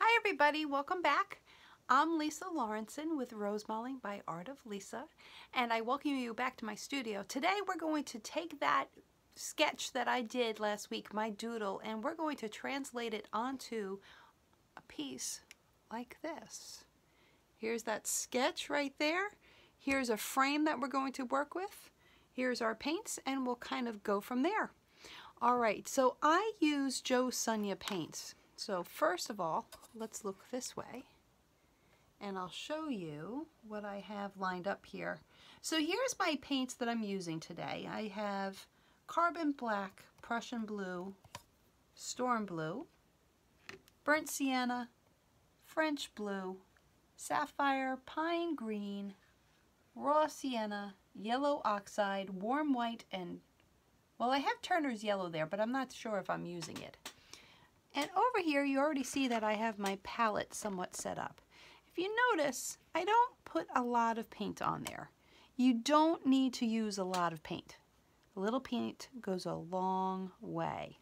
Hi everybody, welcome back. I'm Lisa Lawrenson with Rose by Art of Lisa, and I welcome you back to my studio. Today we're going to take that sketch that I did last week, my doodle, and we're going to translate it onto a piece like this. Here's that sketch right there. Here's a frame that we're going to work with. Here's our paints, and we'll kind of go from there. All right, so I use Joe Sunya paints. So first of all, let's look this way and I'll show you what I have lined up here. So here's my paints that I'm using today. I have Carbon Black, Prussian Blue, Storm Blue, Burnt Sienna, French Blue, Sapphire, Pine Green, raw sienna, yellow oxide, warm white, and, well, I have Turner's yellow there, but I'm not sure if I'm using it. And over here, you already see that I have my palette somewhat set up. If you notice, I don't put a lot of paint on there. You don't need to use a lot of paint. A little paint goes a long way.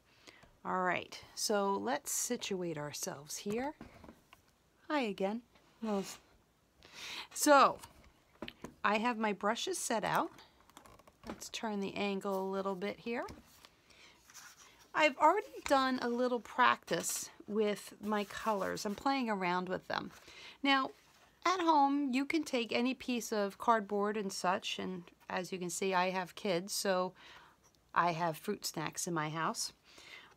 All right, so let's situate ourselves here. Hi again. Well, so I have my brushes set out. Let's turn the angle a little bit here. I've already done a little practice with my colors. I'm playing around with them. Now, at home, you can take any piece of cardboard and such, and as you can see, I have kids, so I have fruit snacks in my house.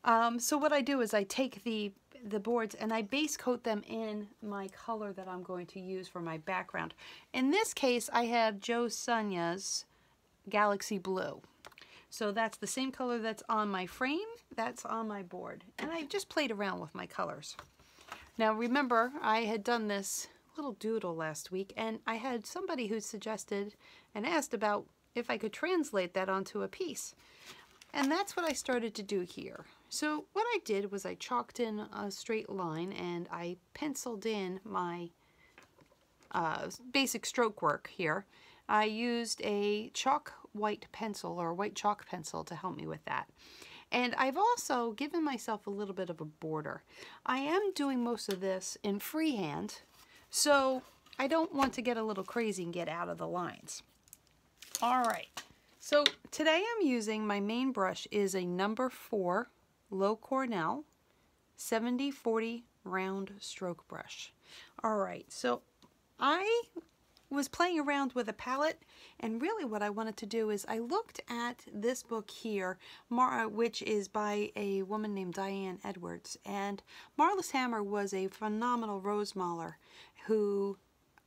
Um, so what I do is I take the the boards and I base coat them in my color that I'm going to use for my background. In this case, I have Joe Sonya's Galaxy Blue. So that's the same color that's on my frame, that's on my board. And I just played around with my colors. Now remember, I had done this little doodle last week and I had somebody who suggested and asked about if I could translate that onto a piece. And that's what I started to do here. So what I did was I chalked in a straight line and I penciled in my uh, basic stroke work here. I used a chalk white pencil or white chalk pencil to help me with that. And I've also given myself a little bit of a border. I am doing most of this in freehand, so I don't want to get a little crazy and get out of the lines. All right, so today I'm using, my main brush is a number four Low Cornell 7040 round stroke brush. All right, so I was playing around with a palette and really what I wanted to do is I looked at this book here, Mara, uh, which is by a woman named Diane Edwards and Marlis Hammer was a phenomenal rose mauler who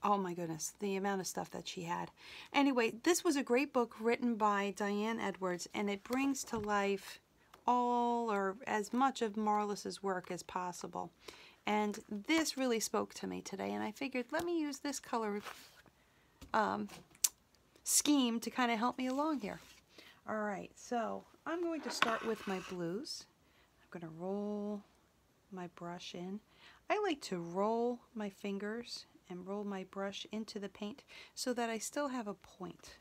oh my goodness, the amount of stuff that she had. Anyway, this was a great book written by Diane Edwards, and it brings to life all or as much of Marlis's work as possible. And this really spoke to me today, and I figured let me use this color um, scheme to kind of help me along here. All right, so I'm going to start with my blues. I'm going to roll my brush in. I like to roll my fingers and roll my brush into the paint so that I still have a point.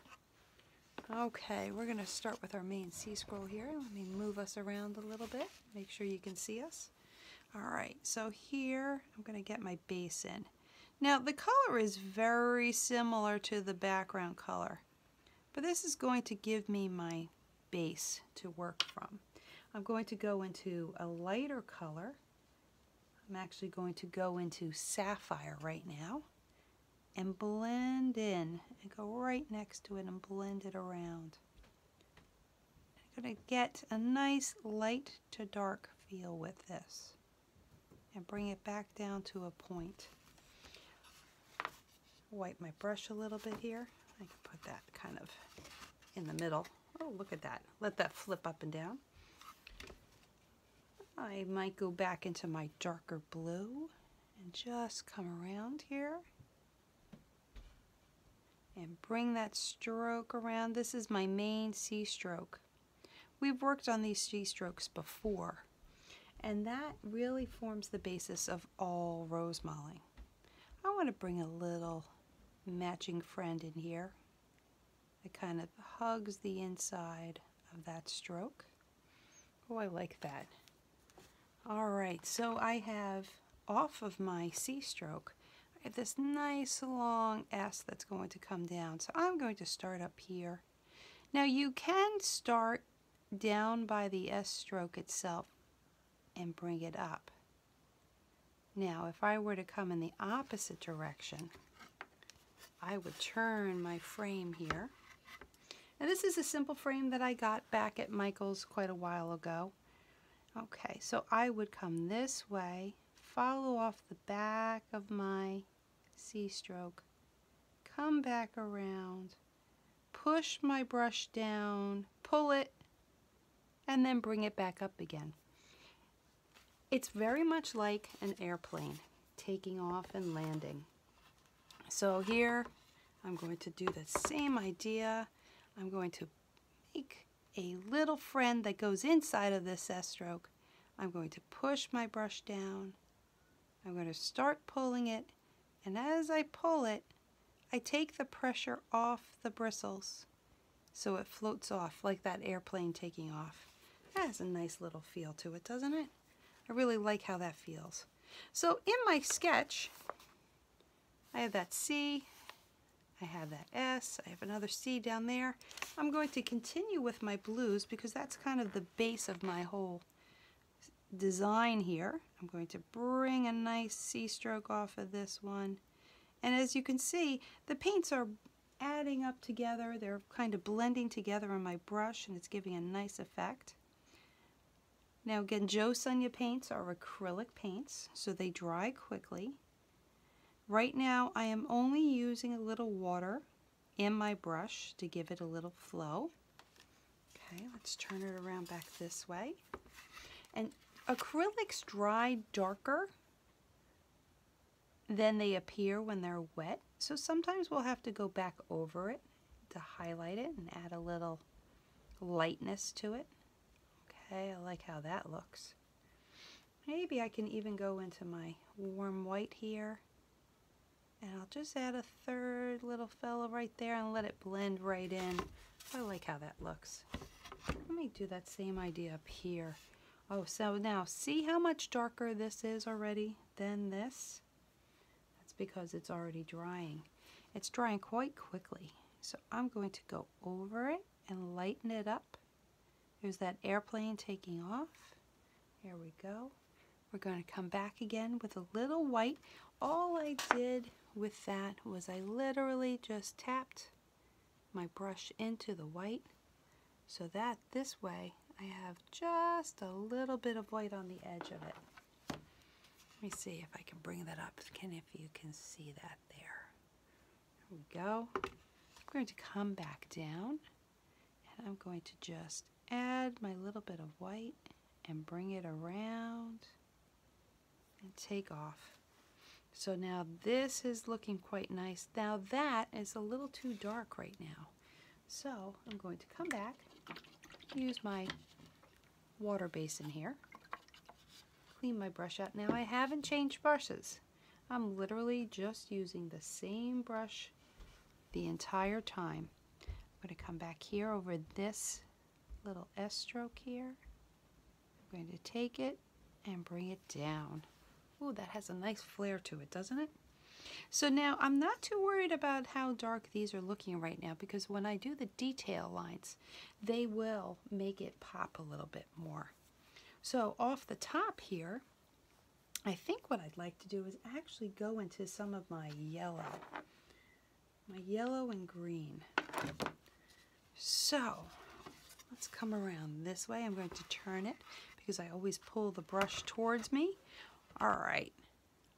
Okay, we're going to start with our main sea scroll here. Let me move us around a little bit, make sure you can see us. All right, so here I'm going to get my base in. Now the color is very similar to the background color, but this is going to give me my base to work from. I'm going to go into a lighter color. I'm actually going to go into Sapphire right now and blend in and go right next to it and blend it around. I'm going to get a nice light to dark feel with this and bring it back down to a point wipe my brush a little bit here. I can put that kind of in the middle. Oh, look at that. Let that flip up and down. I might go back into my darker blue and just come around here and bring that stroke around. This is my main C stroke. We've worked on these C strokes before and that really forms the basis of all rose modeling. I want to bring a little matching friend in here that kind of hugs the inside of that stroke. Oh, I like that. All right, so I have off of my C stroke, I have this nice long S that's going to come down. So I'm going to start up here. Now you can start down by the S stroke itself, and bring it up. Now, if I were to come in the opposite direction, I would turn my frame here. And this is a simple frame that I got back at Michael's quite a while ago. Okay, so I would come this way, follow off the back of my C stroke, come back around, push my brush down, pull it, and then bring it back up again. It's very much like an airplane taking off and landing. So here I'm going to do the same idea. I'm going to make a little friend that goes inside of this S stroke. I'm going to push my brush down. I'm going to start pulling it and as I pull it, I take the pressure off the bristles so it floats off like that airplane taking off. That has a nice little feel to it, doesn't it? I really like how that feels. So in my sketch, I have that C, I have that S, I have another C down there. I'm going to continue with my blues because that's kind of the base of my whole design here. I'm going to bring a nice C-stroke off of this one. And as you can see, the paints are adding up together. They're kind of blending together on my brush and it's giving a nice effect. Now again, Joe paints are acrylic paints, so they dry quickly. Right now, I am only using a little water in my brush to give it a little flow. Okay, let's turn it around back this way. And acrylics dry darker than they appear when they're wet. So sometimes we'll have to go back over it to highlight it and add a little lightness to it. Okay, I like how that looks. Maybe I can even go into my warm white here and I'll just add a third little fella right there and let it blend right in. I like how that looks. Let me do that same idea up here. Oh, so now see how much darker this is already than this? That's because it's already drying. It's drying quite quickly. So I'm going to go over it and lighten it up. There's that airplane taking off. Here we go. We're going to come back again with a little white. All I did with that was I literally just tapped my brush into the white so that this way I have just a little bit of white on the edge of it. Let me see if I can bring that up, Can if you can see that there. There we go. I'm going to come back down and I'm going to just add my little bit of white and bring it around and take off. So now this is looking quite nice. Now that is a little too dark right now. So I'm going to come back, use my water basin here, clean my brush out. Now I haven't changed brushes. I'm literally just using the same brush the entire time. I'm going to come back here over this little S stroke here. I'm going to take it and bring it down. Ooh, that has a nice flare to it, doesn't it? So now I'm not too worried about how dark these are looking right now because when I do the detail lines, they will make it pop a little bit more. So off the top here, I think what I'd like to do is actually go into some of my yellow my yellow and green. So let's come around this way. I'm going to turn it because I always pull the brush towards me. All right,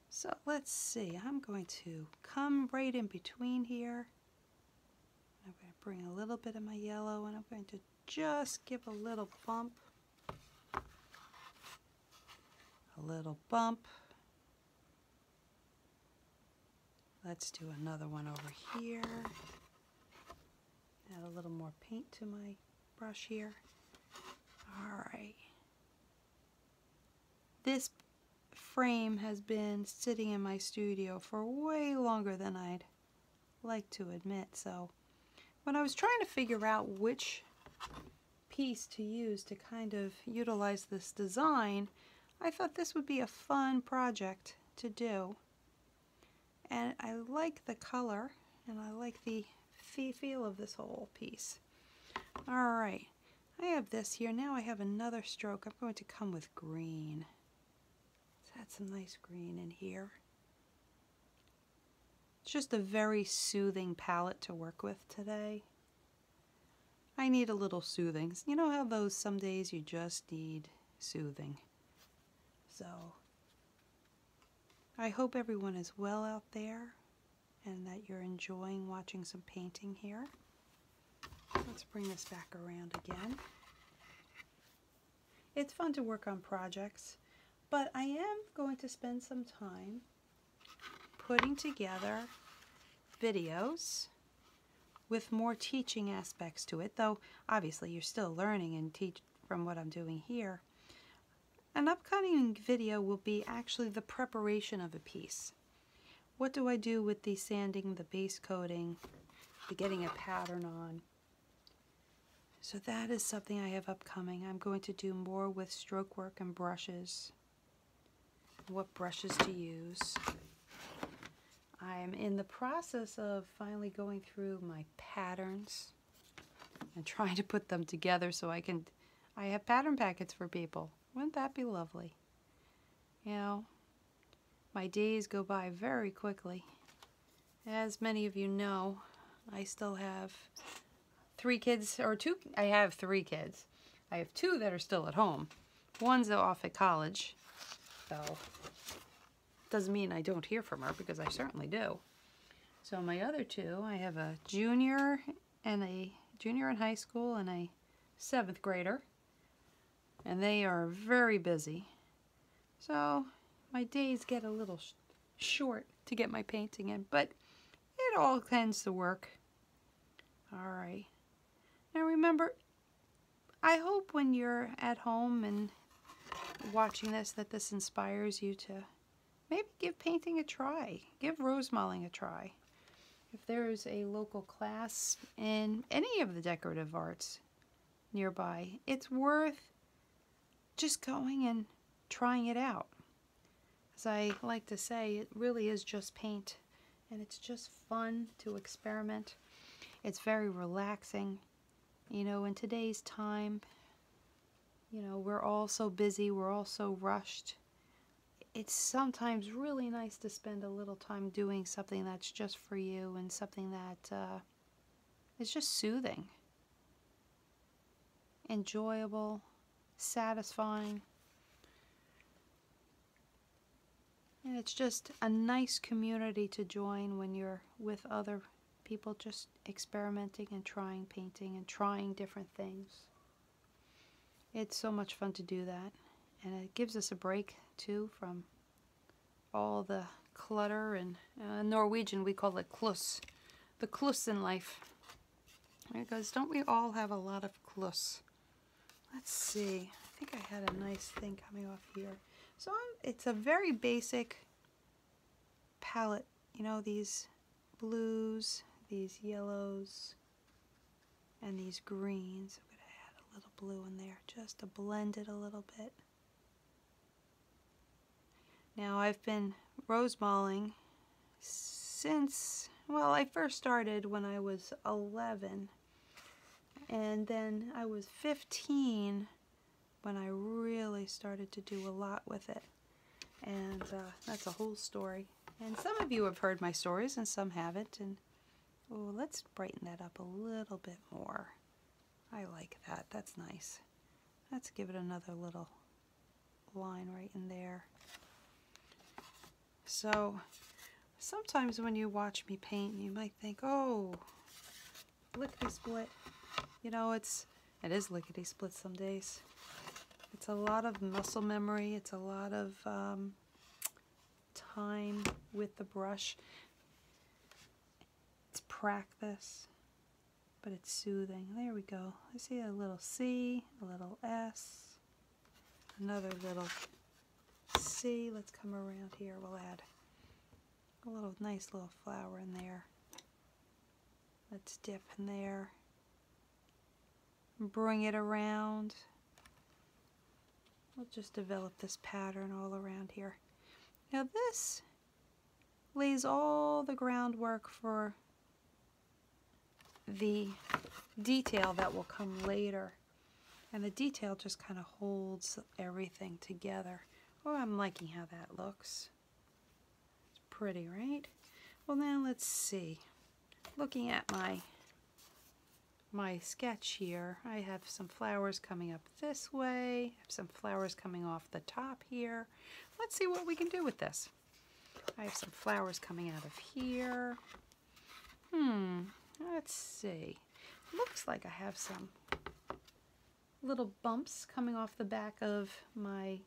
so let's see. I'm going to come right in between here. I'm going to bring a little bit of my yellow and I'm going to just give a little bump. A little bump Let's do another one over here. Add a little more paint to my brush here. All right. This frame has been sitting in my studio for way longer than I'd like to admit. So when I was trying to figure out which piece to use to kind of utilize this design, I thought this would be a fun project to do. And I like the color and I like the feel of this whole piece. All right, I have this here. Now I have another stroke. I'm going to come with green. Let's add some nice green in here. It's just a very soothing palette to work with today. I need a little soothing. You know how those some days you just need soothing. So I hope everyone is well out there and that you're enjoying watching some painting here. Let's bring this back around again. It's fun to work on projects, but I am going to spend some time putting together videos with more teaching aspects to it, though obviously you're still learning and teach from what I'm doing here. An upcoming video will be actually the preparation of a piece. What do I do with the sanding, the base coating, the getting a pattern on? So that is something I have upcoming. I'm going to do more with stroke work and brushes what brushes to use. I'm in the process of finally going through my patterns and trying to put them together so I can, I have pattern packets for people. Wouldn't that be lovely? You know, my days go by very quickly. As many of you know, I still have three kids, or two, I have three kids. I have two that are still at home. One's off at college, so Doesn't mean I don't hear from her because I certainly do. So my other two, I have a junior and a junior in high school and a seventh grader. And they are very busy. So my days get a little short to get my painting in, but it all tends to work all right. Now remember, I hope when you're at home and watching this that this inspires you to maybe give painting a try. Give rose mulling a try. If there is a local class in any of the decorative arts nearby, it's worth just going and trying it out. As I like to say, it really is just paint and it's just fun to experiment. It's very relaxing. You know, in today's time, you know, we're all so busy, we're all so rushed. It's sometimes really nice to spend a little time doing something that's just for you and something that uh, is just soothing, enjoyable, satisfying. And it's just a nice community to join when you're with other people just experimenting and trying painting and trying different things. It's so much fun to do that. And it gives us a break too from all the clutter and uh, Norwegian we call it klus, the klus in life. There it goes. Don't we all have a lot of klus? Let's see. I think I had a nice thing coming off here. So it's a very basic palette. You know, these blues, these yellows, and these greens. I'm going to add a little blue in there just to blend it a little bit. Now I've been rose malling since, well, I first started when I was 11 and then I was 15 when I really started to do a lot with it. And uh, that's a whole story. And some of you have heard my stories and some haven't. And oh, let's brighten that up a little bit more. I like that. That's nice. Let's give it another little line right in there. So sometimes when you watch me paint, you might think, oh, lickety split. You know, it's, it is lickety split some days. It's a lot of muscle memory. It's a lot of um, time with the brush. It's practice, but it's soothing. There we go. I see a little C, a little S another little C. Let's come around here. We'll add a little nice little flower in there. Let's dip in there. Bring it around. We'll just develop this pattern all around here. Now this lays all the groundwork for the detail that will come later. And the detail just kind of holds everything together. Oh, I'm liking how that looks. It's pretty, right? Well, now let's see. Looking at my my sketch here, I have some flowers coming up this way, some flowers coming off the top here. Let's see what we can do with this. I have some flowers coming out of here. Hmm, let's see. Looks like I have some little bumps coming off the back of my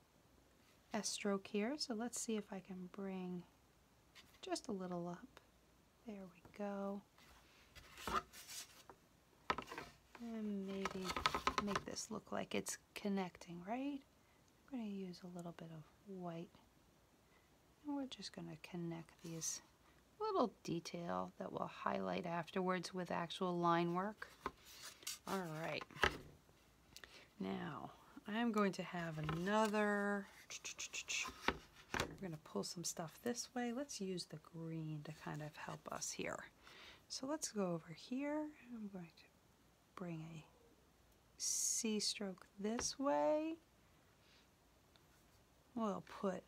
S stroke here. So let's see if I can bring just a little up. There we go. And maybe make this look like it's connecting, right? I'm going to use a little bit of white we're just going to connect these little detail that we'll highlight afterwards with actual line work. All right. Now, I'm going to have another... We're going to pull some stuff this way. Let's use the green to kind of help us here. So let's go over here. I'm going to bring a C stroke this way. We'll put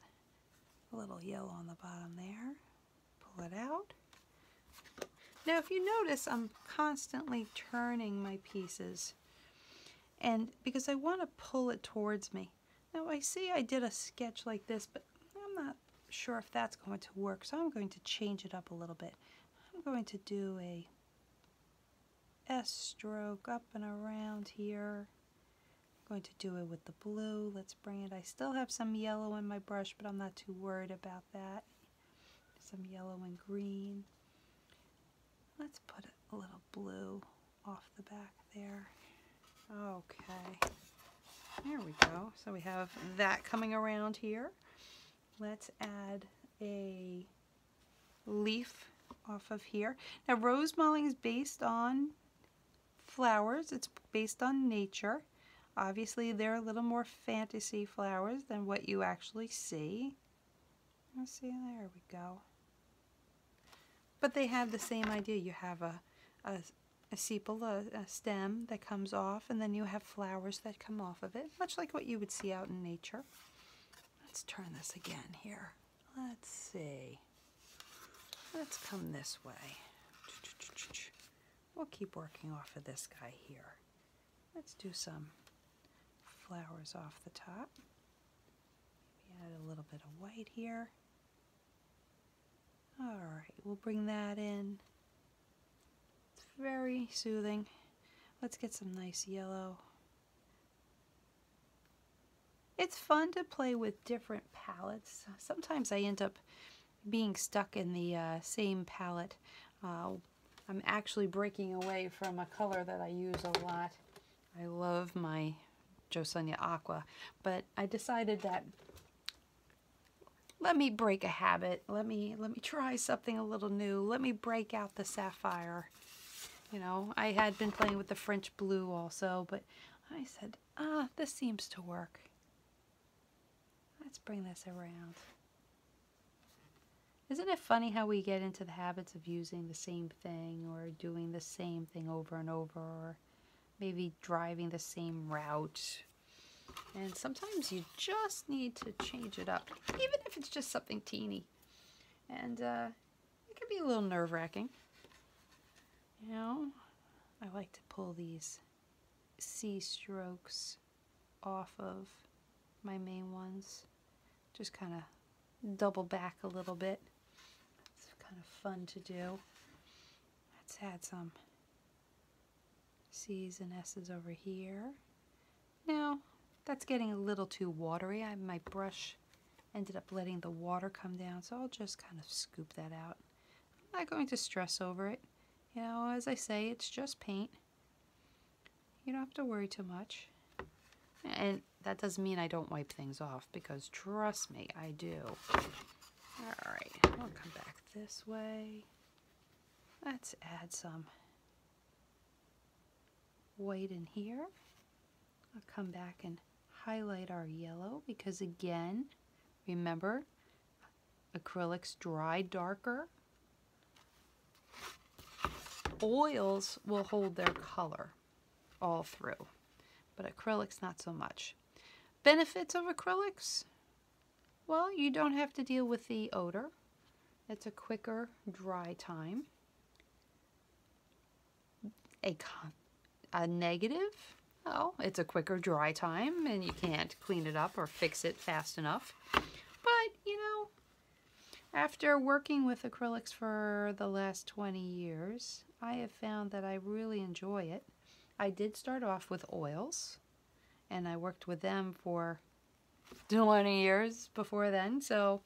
a little yellow on the bottom there. Pull it out. Now if you notice, I'm constantly turning my pieces and because I want to pull it towards me. Now I see I did a sketch like this, but I'm not sure if that's going to work, so I'm going to change it up a little bit. I'm going to do a S stroke up and around here. I'm going to do it with the blue. Let's bring it. I still have some yellow in my brush, but I'm not too worried about that. Some yellow and green. Let's put a little blue off the back there. Okay. There we go. So we have that coming around here. Let's add a leaf off of here. Now rose mulling is based on flowers. It's based on nature. Obviously they're a little more fantasy flowers than what you actually see. see, there we go. But they have the same idea. You have a, a, sepal, a stem that comes off, and then you have flowers that come off of it, much like what you would see out in nature. Let's turn this again here. Let's see. Let's come this way. We'll keep working off of this guy here. Let's do some flowers off the top. Maybe add a little bit of white here. All right, we'll bring that in. It's very soothing. Let's get some nice yellow it's fun to play with different palettes. Sometimes I end up being stuck in the uh, same palette. Uh, I'm actually breaking away from a color that I use a lot. I love my Josunia Aqua, but I decided that let me break a habit. Let me let me try something a little new. Let me break out the sapphire. You know, I had been playing with the French blue also, but I said, ah, this seems to work. Let's bring this around. Isn't it funny how we get into the habits of using the same thing or doing the same thing over and over or maybe driving the same route? And sometimes you just need to change it up, even if it's just something teeny. And uh, it can be a little nerve-wracking. You know, I like to pull these C strokes off of my main ones. Just kind of double back a little bit. It's kind of fun to do. Let's add some C's and S's over here. Now, that's getting a little too watery. I, my brush ended up letting the water come down, so I'll just kind of scoop that out. I'm not going to stress over it. You know, as I say, it's just paint. You don't have to worry too much. And that doesn't mean I don't wipe things off, because trust me, I do. All right, I'll come back this way. Let's add some white in here. I'll come back and highlight our yellow because again, remember, acrylics dry darker. Oils will hold their color all through, but acrylics not so much. Benefits of acrylics? Well, you don't have to deal with the odor. It's a quicker dry time a, a negative? Oh, it's a quicker dry time and you can't clean it up or fix it fast enough. But, you know, after working with acrylics for the last 20 years, I have found that I really enjoy it. I did start off with oils and I worked with them for 20 years before then, so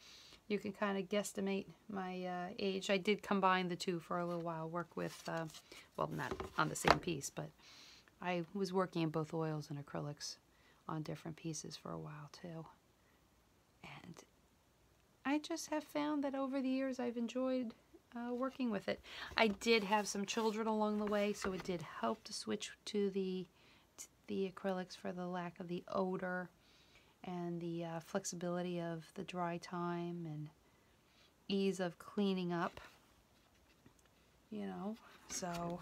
you can kind of guesstimate my uh, age. I did combine the two for a little while, work with, uh, well, not on the same piece, but I was working in both oils and acrylics on different pieces for a while too. And I just have found that over the years I've enjoyed uh, working with it. I did have some children along the way, so it did help to switch to the the acrylics for the lack of the odor and the uh, flexibility of the dry time and ease of cleaning up you know so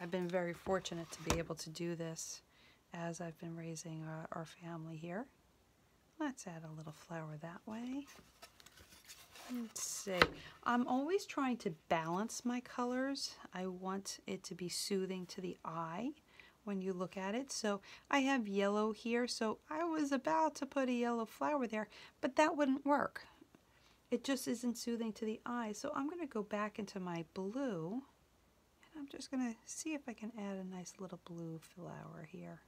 I've been very fortunate to be able to do this as I've been raising our, family here let's add a little flower that way let's see I'm always trying to balance my colors I want it to be soothing to the eye when you look at it. So I have yellow here, so I was about to put a yellow flower there, but that wouldn't work. It just isn't soothing to the eye. So I'm going to go back into my blue, and I'm just going to see if I can add a nice little blue flower here.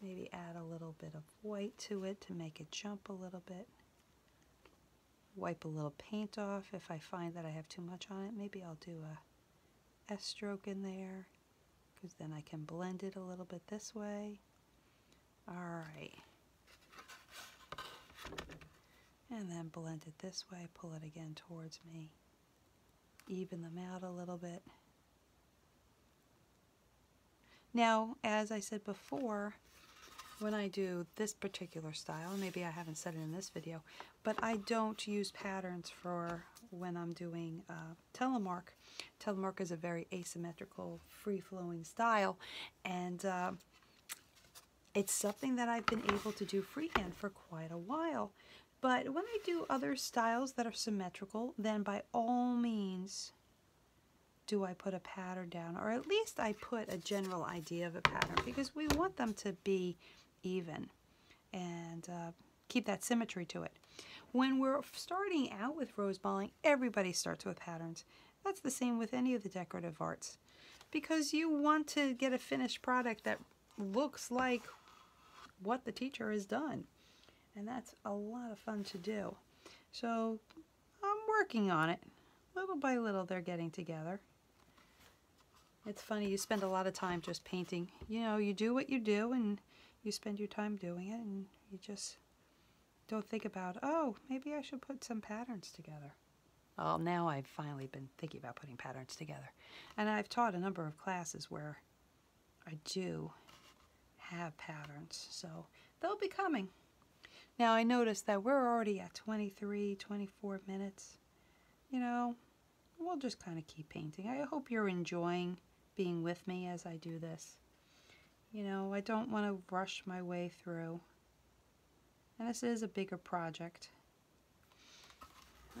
Maybe add a little bit of white to it to make it jump a little bit wipe a little paint off if I find that I have too much on it. Maybe I'll do a S stroke in there because then I can blend it a little bit this way. All right. And then blend it this way, pull it again towards me. Even them out a little bit. Now, as I said before, when I do this particular style, maybe I haven't said it in this video, but I don't use patterns for when I'm doing uh, telemark. Telemark is a very asymmetrical, free-flowing style, and um, it's something that I've been able to do freehand for quite a while. But when I do other styles that are symmetrical, then by all means do I put a pattern down, or at least I put a general idea of a pattern because we want them to be even and uh, keep that symmetry to it. When we're starting out with rose balling, everybody starts with patterns. That's the same with any of the decorative arts because you want to get a finished product that looks like what the teacher has done. And that's a lot of fun to do. So I'm working on it. Little by little they're getting together. It's funny, you spend a lot of time just painting. You know, you do what you do and you spend your time doing it and you just don't think about, oh, maybe I should put some patterns together. Well, now I've finally been thinking about putting patterns together. And I've taught a number of classes where I do have patterns, so they'll be coming. Now I notice that we're already at 23, 24 minutes you know, we'll just kind of keep painting. I hope you're enjoying being with me as I do this. You know, I don't want to rush my way through. And this is a bigger project.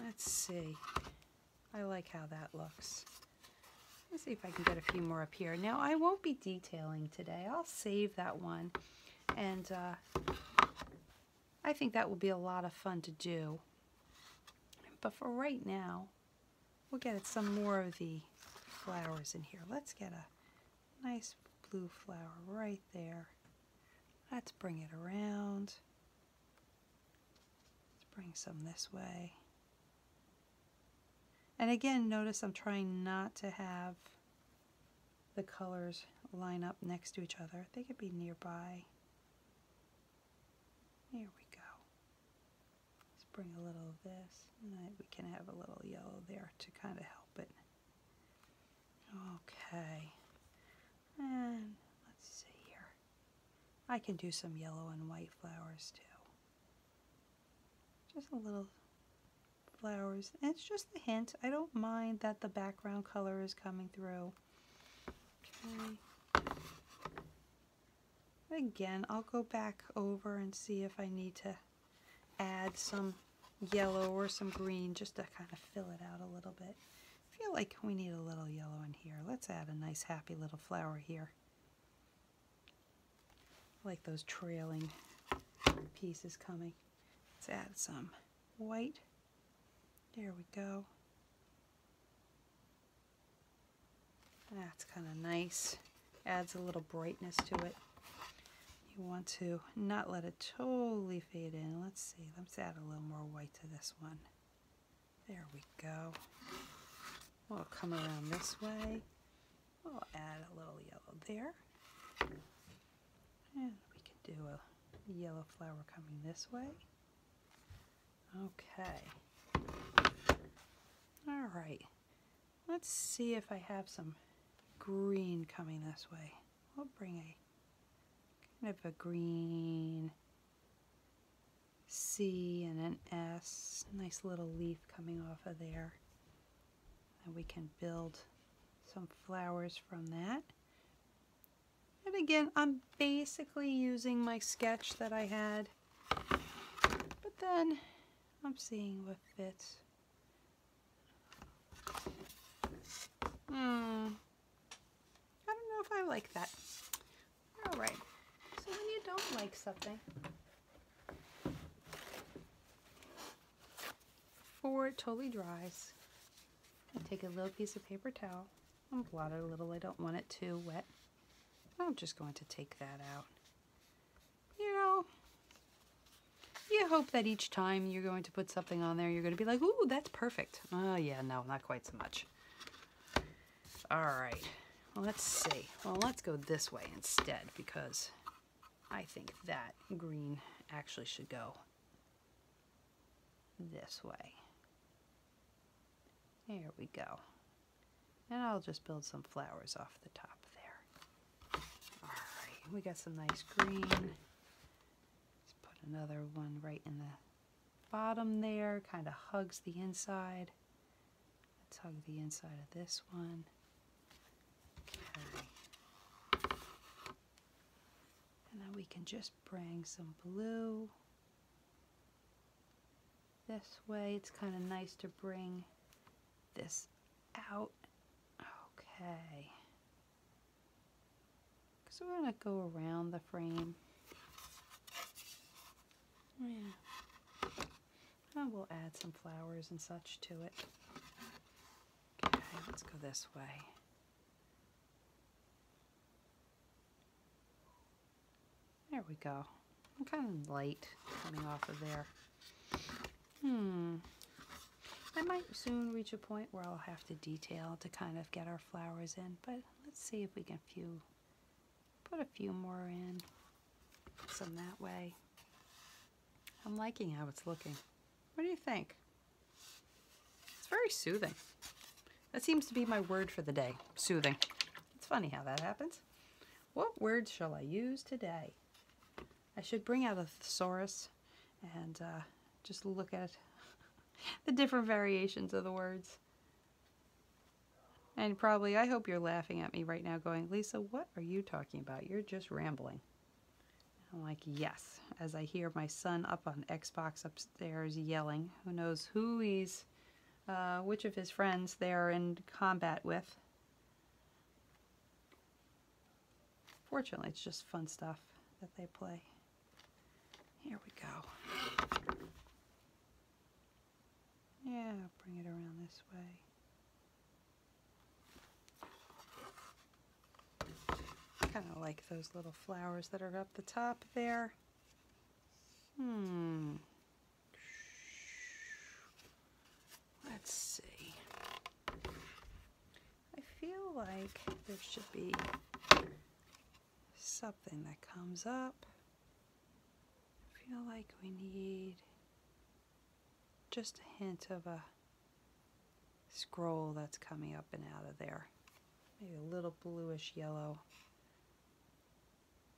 Let's see. I like how that looks. Let's see if I can get a few more up here. Now, I won't be detailing today. I'll save that one and uh, I think that will be a lot of fun to do. But for right now, we'll get at some more of the flowers in here. Let's get a nice blue flower right there. Let's bring it around. Let's bring some this way. And again, notice I'm trying not to have the colors line up next to each other. They could be nearby. Here we go. Let's bring a little of this. And we can have a little yellow there to kind of help it. Okay. And let's see here. I can do some yellow and white flowers too. Just a little flowers. it's just a hint. I don't mind that the background color is coming through. Okay. Again, I'll go back over and see if I need to add some yellow or some green just to kind of fill it out a little bit. I feel like we need a little yellow in here. Let's add a nice happy little flower here. I like those trailing pieces coming. Let's add some white. There we go. That's kind of nice. Adds a little brightness to it. You want to not let it totally fade in. Let's see, let's add a little more white to this one. There we go. We'll come around this way. We'll add a little yellow there. And we can do a yellow flower coming this way. Okay. All right. Let's see if I have some green coming this way. i will bring a kind of a green C and an S. Nice little leaf coming off of there. And we can build some flowers from that. And again, I'm basically using my sketch that I had, but then I'm seeing what fits. Hmm. I don't know if I like that. All right. when you don't like something, before it totally dries, I take a little piece of paper towel and blot it a little. I don't want it too wet. I'm just going to take that out. You know, you hope that each time you're going to put something on there, you're going to be like, ooh, that's perfect. Oh, yeah, no, not quite so much. All right, let's see. Well, let's go this way instead because I think that green actually should go this way. There we go. And I'll just build some flowers off the top there. Alright, we got some nice green. Let's put another one right in the bottom there. Kind of hugs the inside. Let's hug the inside of this one. And then we can just bring some blue this way. It's kind of nice to bring this out. Okay. Because we're going to go around the frame. Oh, yeah. And oh, we'll add some flowers and such to it. Okay, let's go this way. There we go. I'm kind of light coming off of there. Hmm. I might soon reach a point where I'll have to detail to kind of get our flowers in, but let's see if we can few, put a few more in, some that way. I'm liking how it's looking. What do you think? It's very soothing. That seems to be my word for the day, soothing. It's funny how that happens. What words shall I use today? I should bring out a thesaurus and uh, just look at the different variations of the words. And probably, I hope you're laughing at me right now going, Lisa, what are you talking about? You're just rambling. I'm like, yes, as I hear my son up on Xbox upstairs yelling. Who knows who he's, uh, which of his friends they're in combat with. Fortunately, it's just fun stuff that they play. Here we go. Yeah, bring it around this way. I Kind of like those little flowers that are up the top there. Hmm. Let's see. I feel like there should be something that comes up. I feel like we need just a hint of a scroll that's coming up and out of there. Maybe a little bluish yellow.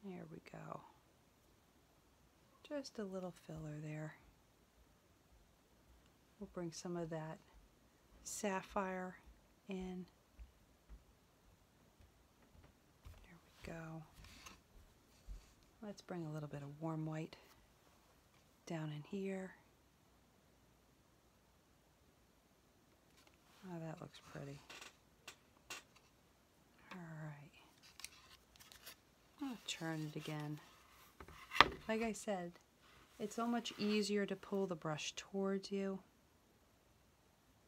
There we go. Just a little filler there. We'll bring some of that sapphire in. There we go. Let's bring a little bit of warm white down in here. Oh, that looks pretty. Alright. I'm turn it again. Like I said, it's so much easier to pull the brush towards you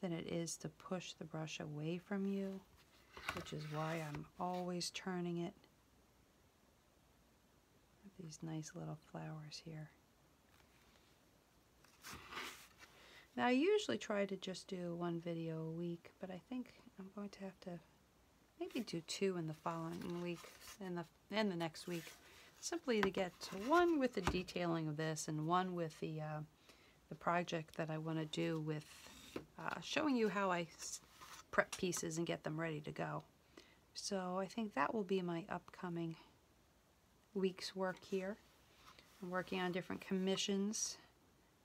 than it is to push the brush away from you, which is why I'm always turning it these nice little flowers here. Now I usually try to just do one video a week, but I think I'm going to have to maybe do two in the following week and the and the next week, simply to get one with the detailing of this and one with the uh, the project that I want to do with uh, showing you how I prep pieces and get them ready to go. So I think that will be my upcoming week's work here. I'm working on different commissions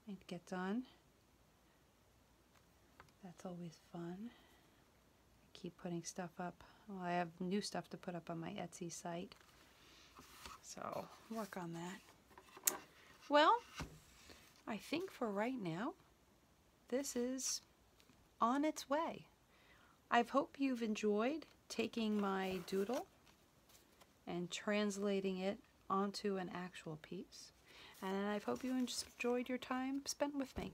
and get done. That's always fun. I keep putting stuff up. I have new stuff to put up on my Etsy site. So work on that. Well, I think for right now, this is on its way. I hope you've enjoyed taking my doodle and translating it onto an actual piece. And I hope you enjoyed your time spent with me.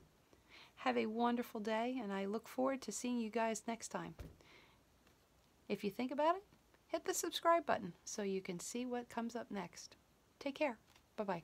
Have a wonderful day, and I look forward to seeing you guys next time. If you think about it, hit the subscribe button so you can see what comes up next. Take care. Bye-bye.